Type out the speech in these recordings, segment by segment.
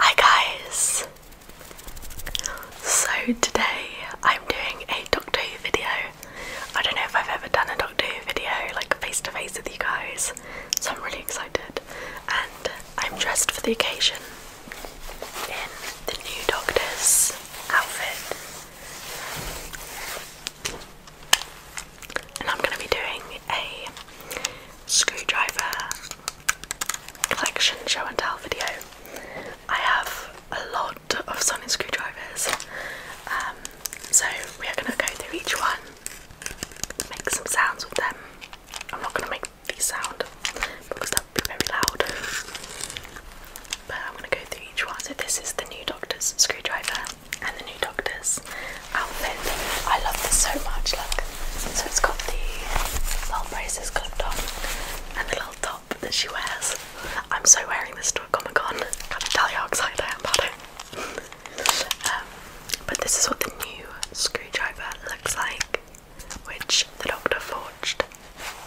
Hi guys! So today I'm doing a Doctor video. I don't know if I've ever done a Doctor video like face to face with you guys, so I'm really excited. And I'm dressed for the occasion in the new Doctor's outfit. And I'm going to be doing a screwdriver collection show and tell video. I have a lot of sonic screwdrivers, um, so we are going to go through each one, make some sounds with them. I'm not going to make these sound because that would be very loud, but I'm going to go through each one. So, this is the new doctor's screwdriver and the new doctor's, outfit. I love this so much. Look, so it's got the little braces clipped on and the little top that she wears. I'm so wearing this to a Comic Con. Can't tell you how excited I am about it. Um, but this is what the new screwdriver looks like, which the Doctor forged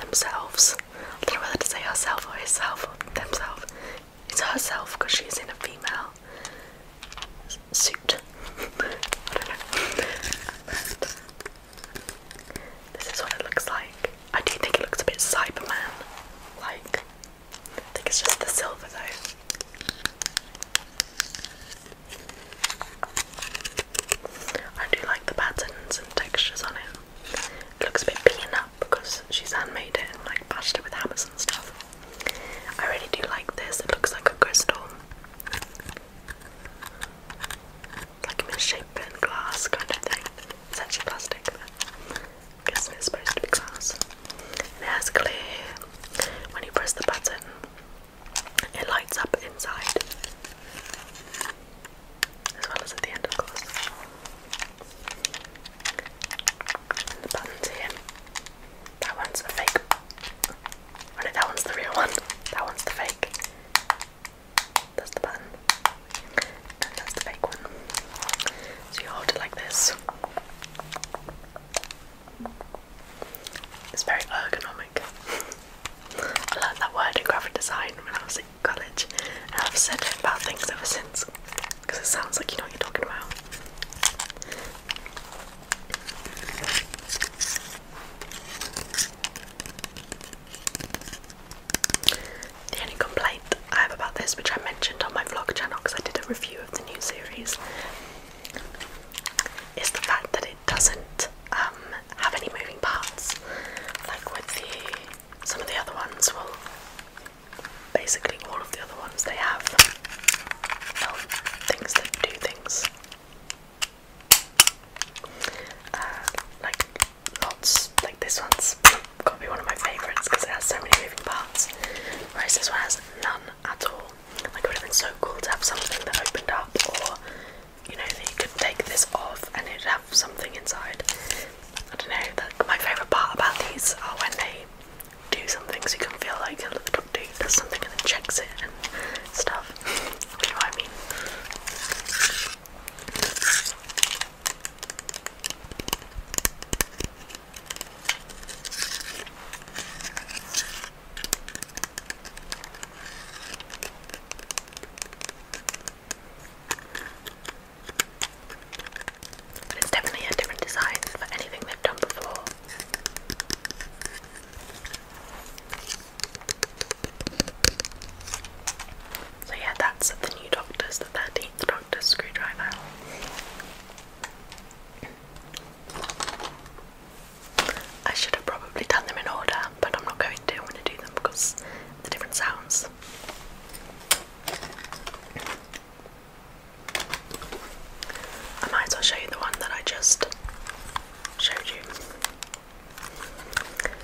themselves. I don't know whether to say herself or himself or themselves. It's herself because she's in a female suit. I don't know. this is what it looks like. I do think it looks a bit Cyberman like. I think it's just the silver though. I do like the patterns and textures on it. It looks a bit beaten up because she's handmade it and like bashed it with hammers and stuff. I really do like this. It looks like a crystal. Like misshapen glass kind of thing. It's actually plastic, but I supposed to be glass. it has clear. When you press the button, it lights up inside. As well as at the end, of course. And the buttons here. That one's the fake. Oh no, that one's the real one. That one's the fake. That's the button. And that's the fake one. So you hold it like this. It's very ergonomic. I learned that word in graphic design when I was in college, and I've said it about things ever since because it sounds like you know what you're talking about. The only complaint I have about this, which I mentioned on my vlog channel because I did a review of the new series, is the fact that it doesn't um, have any moving parts. Like with the some of the other ones, well, basically all of the other ones they have. Oh, things that do things. Uh, like lots, like this one's got to be one of my favourites because it has so many moving parts, whereas this one has none at all. Like it would have been so cool to have something that opened up, or you know that you could take this off and it'd have something inside. I don't know. The, my favourite part about these are when they do something so you can feel like look, the doctor does something and then checks it and stuff. Do I mean? but it's definitely a different design for anything they've done before. So yeah, that's the new Doctor's, the 13th Doctor's screwdriver. I should have probably done them in order, but I'm not going to. I'm going to do them because of the different sounds. I might as well show you the one that I just showed you.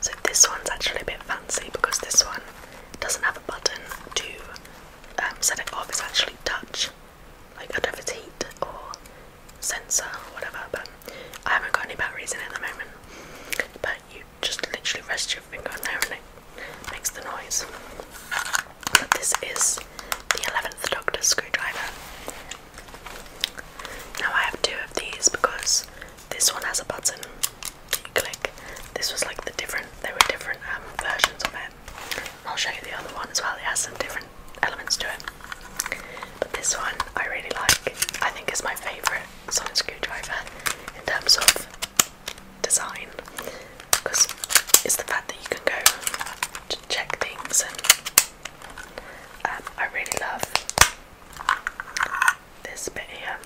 So this one's actually a bit fancy because this one doesn't have a button to um, set it off. It's actually touch. Like I don't know if it's heat or sensor or whatever, but I haven't got any batteries in it at the moment. But you just literally rest your finger on there and it makes the noise. But this is the 11th Doctor screwdriver. Now I have two of these because this one has a button you click. This was like the different, there were different um, versions of it. I'll show you the other one as well, it has some different elements to it. But this one I really like. I think it's my favourite sonic screwdriver in terms of design because it's the fact that you can go check things and um, I really love this bit here.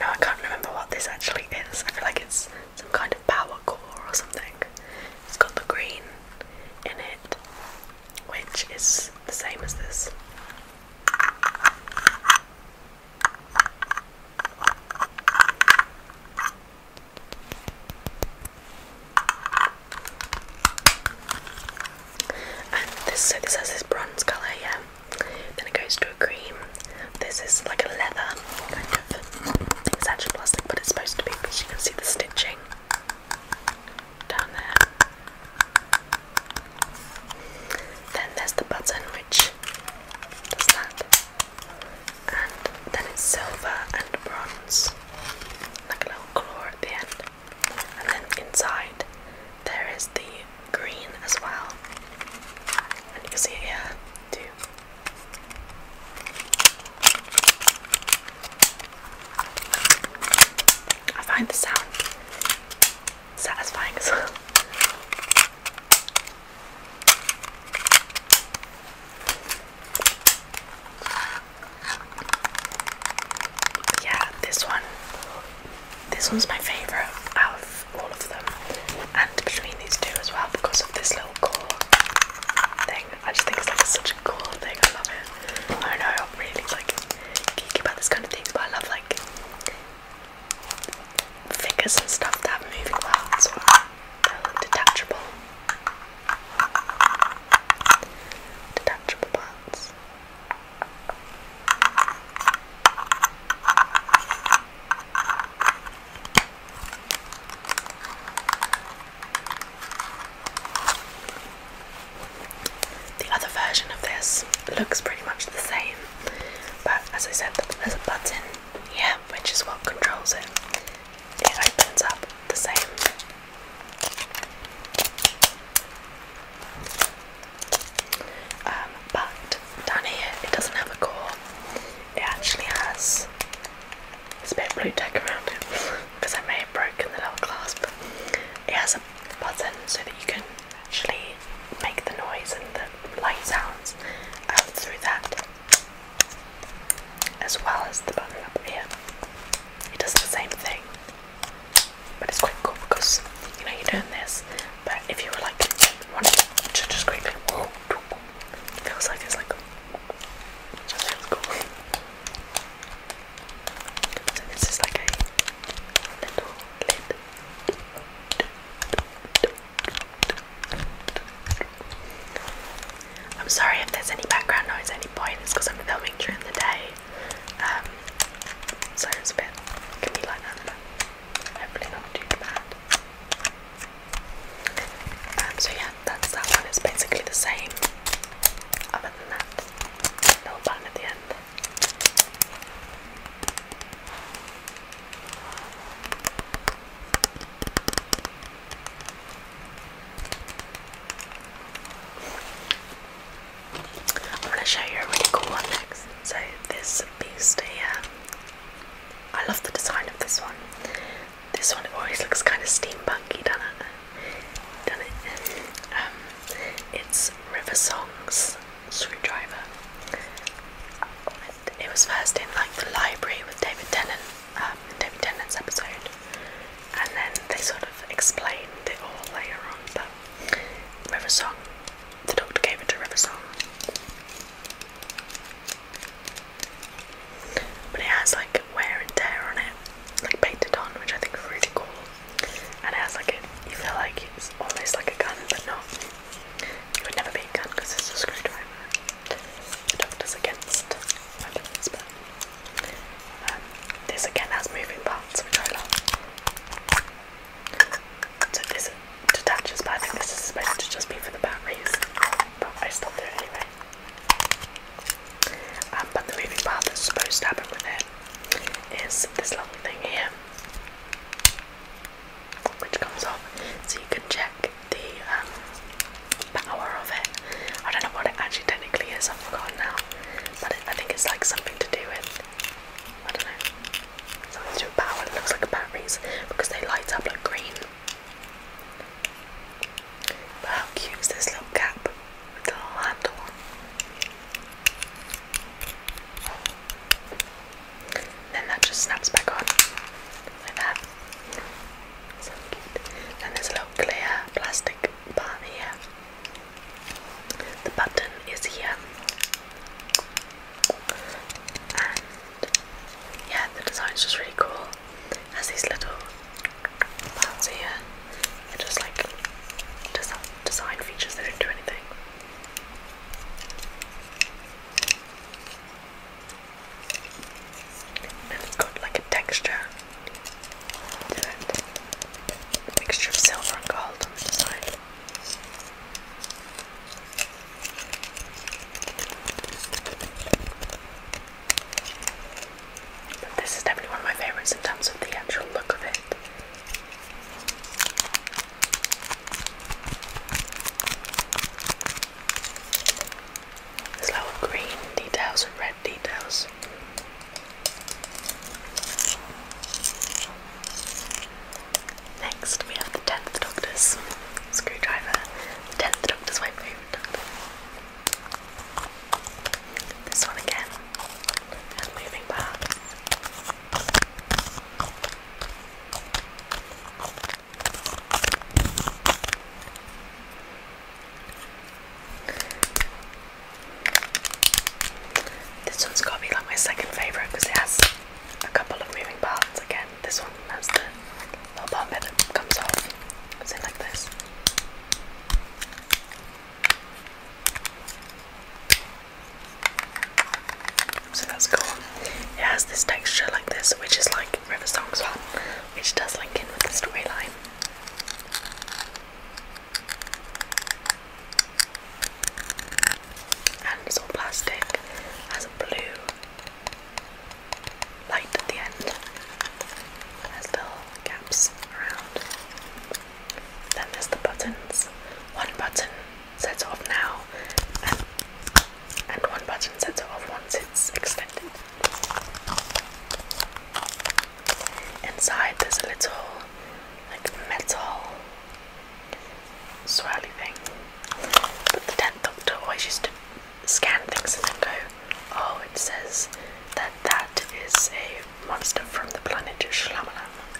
Now I can't remember what this actually is. I feel like it's some kind of power core or something. It's got the green in it, which is the same as this. And this so this has this bronze colour, yeah. Then it goes to a cream. This is like a leather kind of it's actually plastic but it's supposed to be because you can see the stitching down there. Then there's the button which does that and then it's silver and bronze, like a little claw at the end. And then inside there is the green as well, and you can see it here too. I find the sound satisfying as well. Yeah, this one. This one's my favourite out of all of them, and between these two as well because of this little core thing. I just think it's like such a cool thing. I love it. I don't know I'm really like geeky about this kind of things, but I love like figures and stuff that move well parts or detachable. Detachable parts. The other version of this looks pretty much the same, but as I said, there's a button yeah, which is what controls it. It opens up the same. Um, but down here it doesn't have a core. It actually has it's a bit of blue tack around it because I may have broken the little clasp. It has a button so that you can actually make the noise and the light sounds out through that as well as the button up here. It does the same thing, but it's quite cool because you know you're doing this. But if you were like wanted to just quickly, it feels like it's like just feels cool. So this is like a little lid. I'm sorry if there's any background noise at any point, because I'm filming during the day. Um, so it's a bit, it can be like that, but hopefully not too bad. Um, so yeah, that's that one, it's basically the same, other than that little button at the end. I'm going to show you a really cool one next. So, this beast here, I love the design of this one. This one always looks kind of steampunky, doesn't it? Done it. Um, it's River Song's screwdriver it was first in like the library with David Tennant, um, David Tennant's episode, and then they sort of explained it all later on. But River Song, the Doctor gave it to River Song, but it has like wear and tear on it, like painted on, which I think is really cool. And it has like it, you feel like it's almost like a gun, but it would never be a gun because it's a screwdriver. The doctor's against weapons, but um, this again has moving parts, which I love. So this detaches, but I think this is supposed to just be for the batteries. But I stopped it anyway. Um, but the moving part that's supposed to happen with it is this lovely thing here which comes off so you can check the um, power of it. I don't know what it actually technically is, I've forgotten now, but I think it's like something to do with, I don't know, something to do with power. It looks like batteries because they light up like green. But how cute is this little cap with the little handle then that just snaps back on like that. So cute. Then there's a little clear plastic part here. The button is here. And yeah, the design's just really cool. It has these little parts here. they just like design features, they don't do anything it's got like a texture A mixture of silver and gold this is definitely one of my favourites in terms of the actual look of it. There's green details and red details. Next we have the 10th Doctor's screwdriver. The 10th Doctor's my favourite Doctor. This one again, and moving back. This one's got to be like my second favourite because it has a couple of moving parts. Again, this one has the little part that comes off. It's like this. So that's cool. It has this texture like this, which is like River Song's one, which does link in with the storyline. And it's all plastic, has a blue light at the end, it has little gaps around. Then there's the buttons. One button sets off now and, one button sets it off once it's extended. Inside there's a little like metal swirly thing. But the 10th always used to scan things and then go, oh it says that that is a monster from the planet Shlamalam.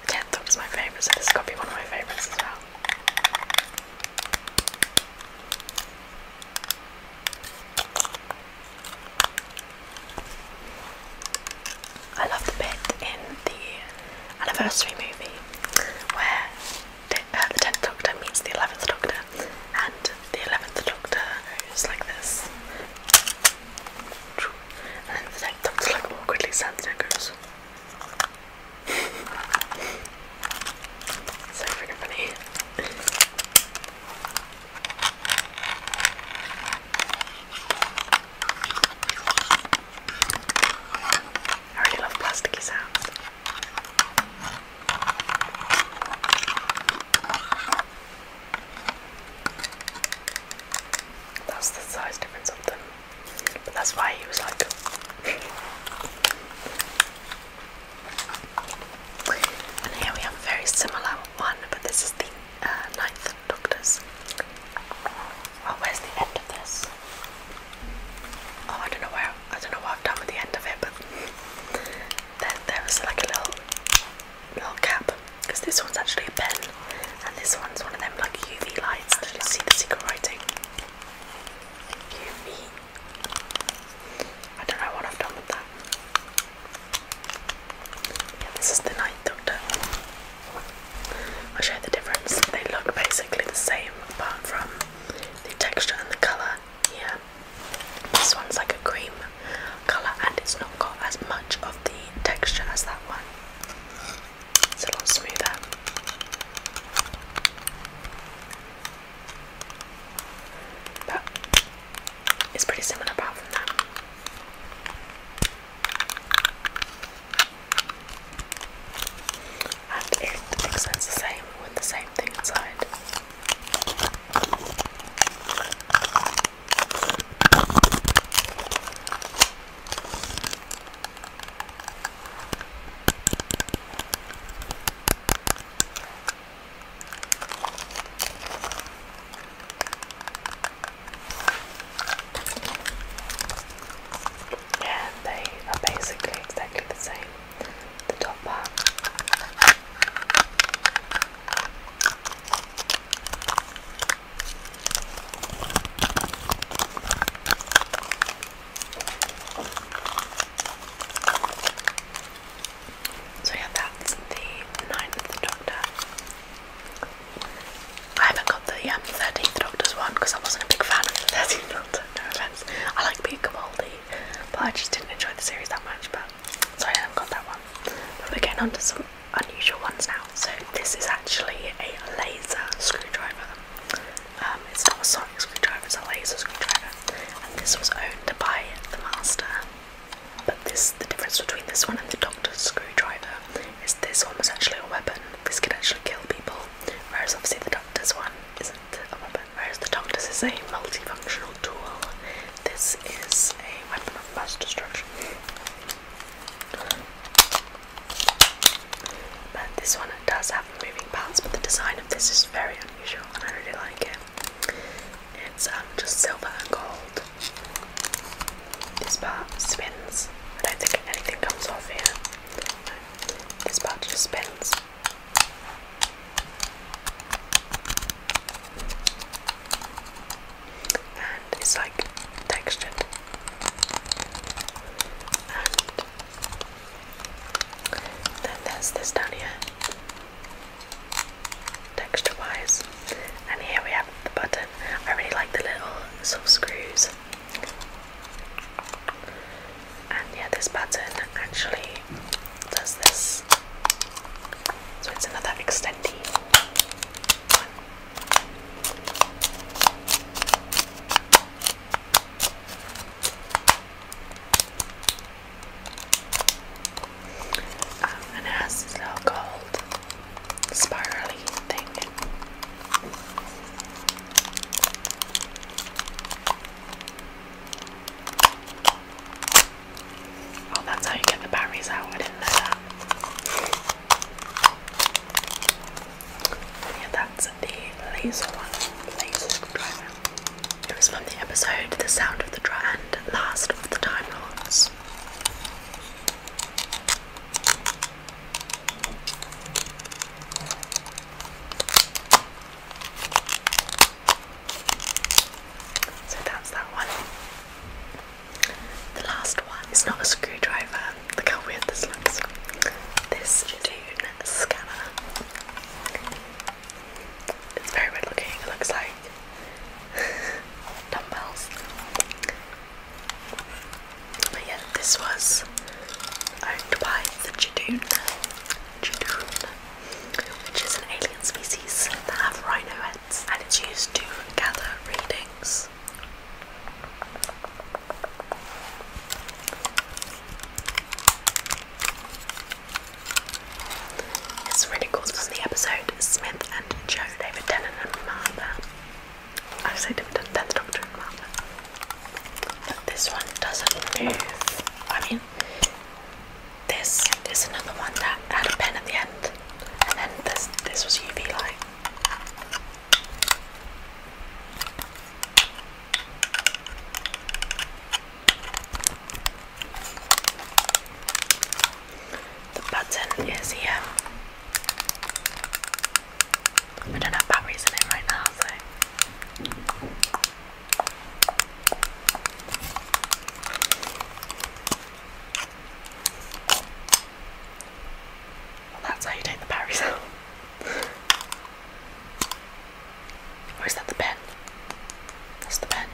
The tenth is my favourite, so this has got to be one of my favourites as well. I love the bit in the anniversary movie where the, 10th uh, Doctor meets the 11th Doctor, and the 11th Doctor goes like this and then the tank tops look awkwardly sand stickers. so funny. I really love plasticky sounds. That's the size difference of them. But that's why he was like And here we have very similar one, but this is the uh, ninth doctor's. Oh, where's the end of this? Oh, I don't know where I don't know what I've done with the end of it, but there, there was like a little little cap because this one's actually a pen and this one's one of them like UV lights. Actually, see the secret writing. UV. I don't know what I've done with that. Yeah, this is the Night Doctor. I'll show you the difference. They look basically the same apart from the texture and the colour. Yeah. This one's like a cream colour and it's not got as much of the texture as that one. It's a lot smoother. But it's pretty similar apart from that. And it extends the same with the same thing inside. Yeah, they are basically exactly the same. The top part. So yeah, that's the ninth Doctor. I haven't got the um, 13th Doctor's one because I wasn't a big fan of the 13th Doctor, no offence. I like Peter Capaldi, but I just didn't enjoy the series that much, but so I haven't got that one. But we're getting onto some unusual ones now. So this is actually a laser screwdriver. Um, it's not a sonic screwdriver, it's a laser screwdriver. And this was owned by the master. But this, the difference between this one and the doctor's screwdriver is this one was actually a weapon. This can actually kill people, whereas obviously the doctor's one isn't a weapon. Whereas the doctor's is a multifunctional tool. This is a weapon of mass destruction. But this one does have moving parts, but the design of this is very unusual and I really like it. It's um, just silver and gold. This part spins. I don't think anything comes off here. This part just spins and it's like textured and then there's this down here texture wise and here we have the button I really like the little sort screws and yeah this button actually does this so it's another extendy one. Um, and it this little gold spirally thing. Oh, that's how you get the batteries out. I didn't know Yeah, that's the laser one. Laser screwdriver. It was from the episode The Sound of the Drum and Last of the Time Lords. So that's that one. The last one is not a screwdriver. Look how weird this looks. This Dune scanner. It's very weird looking. It looks like dumbbells. But yeah, this was owned by the Jadoon, Jadoon, which is an alien species that have rhino and it's used to gather readings. It's really cool. This is the episode Smith and Joe, David Tennant and Martha. I say David Tennant, that's Doctor and Martha. But this one doesn't move. I mean, this is another one that had a pen at the end, and then this this was UV light. The button is here. I don't have batteries in right now, so well, that's how you take the berries out. Where is that the pen? That's the pen.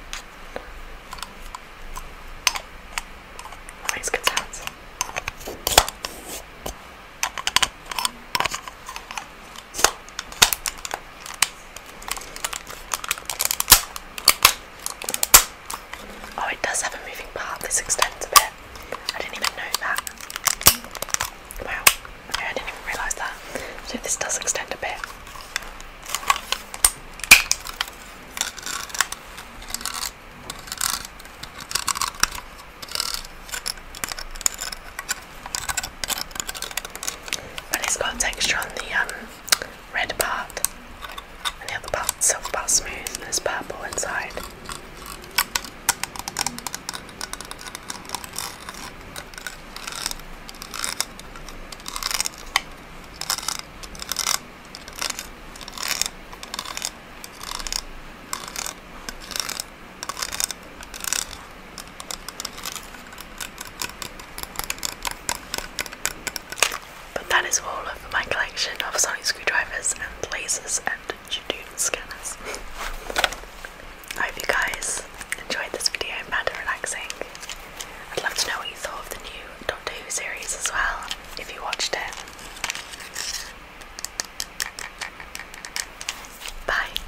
That good sounds. Oh, it does have a moving part. This extends a bit. I didn't even know that. Wow. I didn't even realise that. So this does extend a bit. But it's got texture on the um red part and the other part silver part smooth and there's purple inside. But that is all of my collection of sonic screwdrivers and lasers and Judoon scanners. I hope you guys enjoyed this video, and found it relaxing. I'd love to know what you thought of the new Doctor Who series as well, if you watched it. Bye.